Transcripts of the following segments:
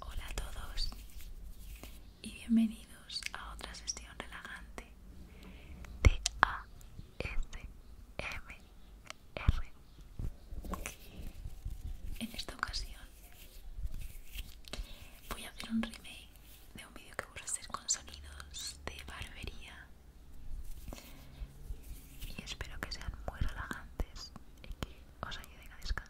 Hola a todos y bienvenidos a otra sesión relajante de ASMR. En esta ocasión voy a hacer un remake de un vídeo que voy a con sonidos de barbería y espero que sean muy relajantes y que os ayuden a descansar.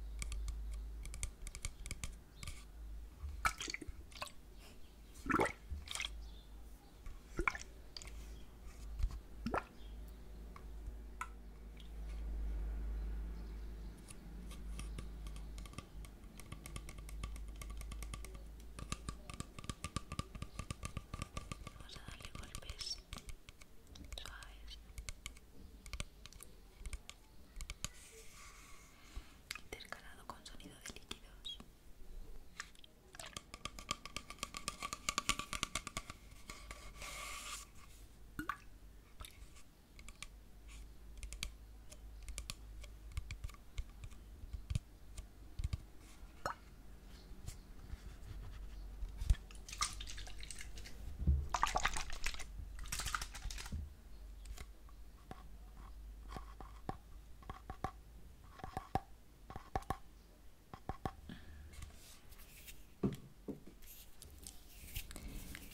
Vamos a darle golpes suaves intercalado con sonido de líquidos.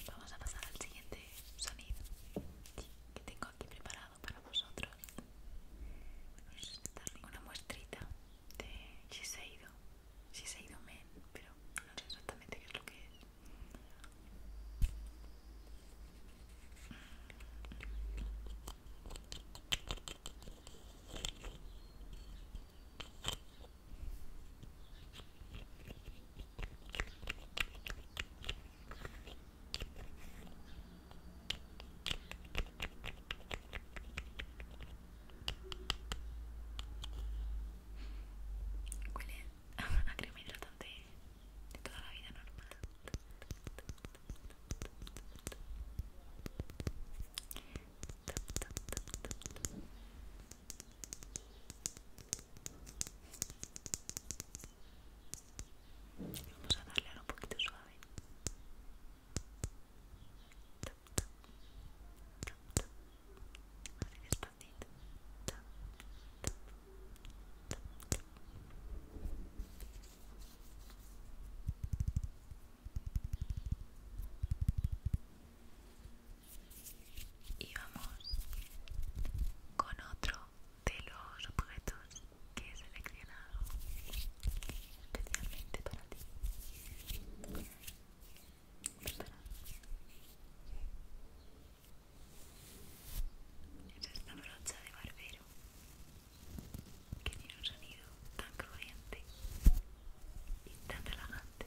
Vamos a pasar al siguiente sonido que tengo aquí preparado para vosotros. Vamos una muestrita de ha ido Men, pero no sé exactamente qué es lo que es. Huele a crema hidratante de toda la vida normal. Vamos a darle a un poquito suave. Y vamos con otro de los objetos que he seleccionado especialmente para ti. esta brocha de barbero que tiene un sonido tan crujiente y tan relajante.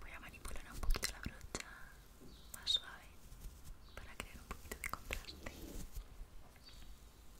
Voy a manipular un poquito la brocha más suave para crear un poquito de contraste.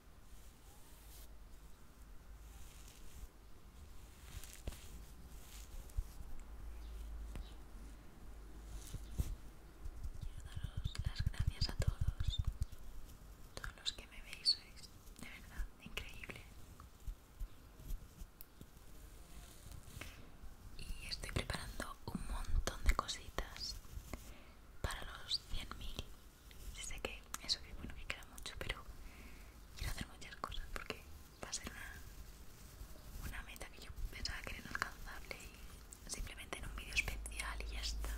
Quiero daros las gracias a todos, todos los que me veis sois de verdad increíble. Y estoy preparando un montón de cositas para los 100.000 sé que eso que bueno que queda mucho pero quiero hacer muchas cosas porque va a ser una, meta que yo pensaba que era inalcanzable y simplemente en un vídeo especial y ya está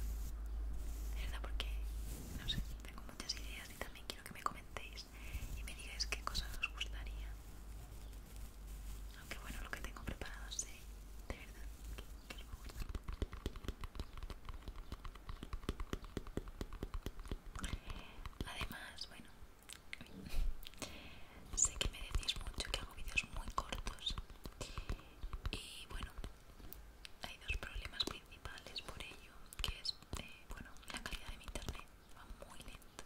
es verdad porque no sé tengo muchas ideas y también quiero que me comentéis y me digáis qué cosas os gustaría aunque bueno, lo que tengo preparado sé, de verdad, que, que me Además, bueno, sé que me decís mucho que hago vídeos muy cortos y bueno, hay dos problemas principales por ello, que es, eh, bueno, la calidad de mi internet va muy lenta.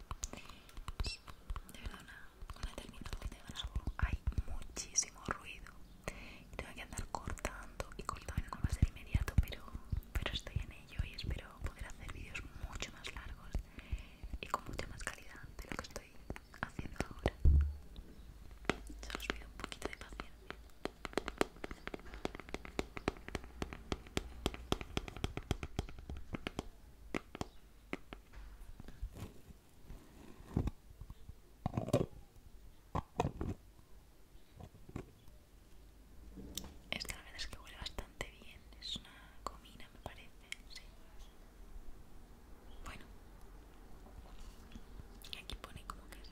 De verdad, nada con termino terminal de hay muchísimo ruido y tengo que andar cortando y cortando no va a ser inmediato pero, pero estoy en ello y espero poder hacer vídeos mucho más largos y con mucha más calidad de lo que estoy haciendo ahora solo os pido un poquito de paciencia esto la verdad es que huele bastante bien. Es una comida me parece. Sí. Bueno, aquí pone como que es.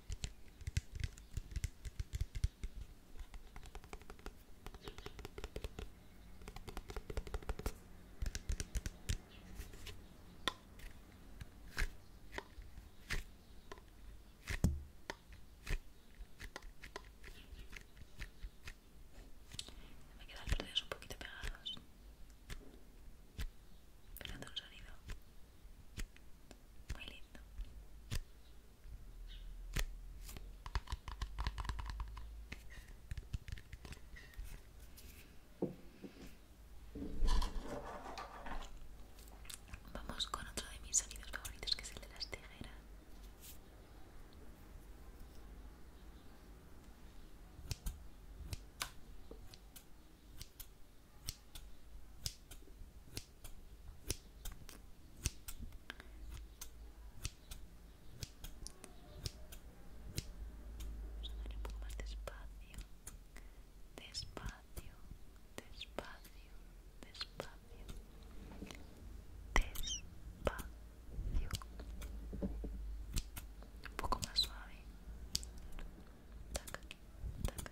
Me quedan los dedos un poquito pegados. Esperando un sonido muy lindo Vamos con otro de mis sonidos favoritos que es el de las tijeras un poco más despacio, despacio, despacio, despacio, despacio, un poco más suave. Taca, taca,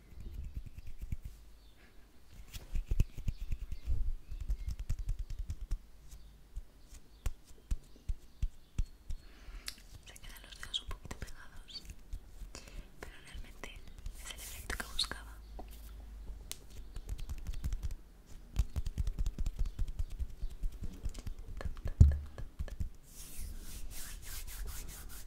Se quedan los dedos un poquito pegados, pero realmente es el efecto que buscaba.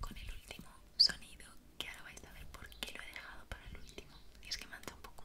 con el último sonido que ahora vais a ver por qué lo he dejado para el último y es que manta un poco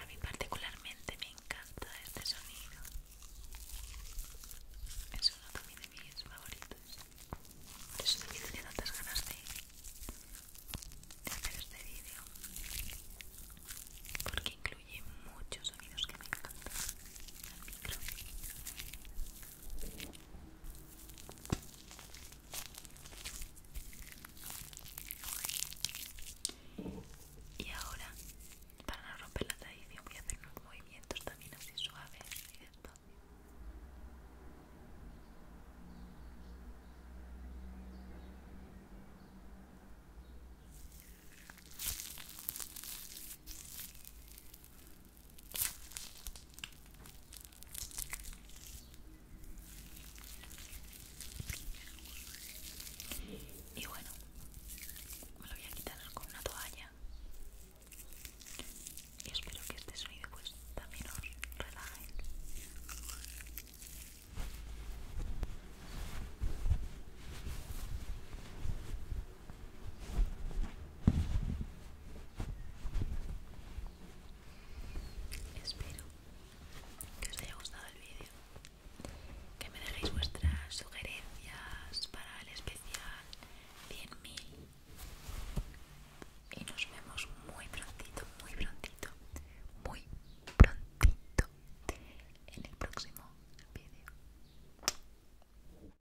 A mí particularmente me encanta este sonido. Es uno de mis favoritos. Por eso también tenía tantas ganas de, hacer este vídeo. Porque incluye muchos sonidos que me encantan. Al y ahora, para no romper la tradición, voy a hacer unos movimientos también así suaves y despacio. Y bueno, me lo voy a quitar con una toalla. Y espero que este sonido pues también os relaje. Espero que os haya gustado el vídeo, que me dejéis vuestras sugerencias para el especial 100.000 y nos vemos muy prontito, muy prontito, muy prontito en el próximo vídeo.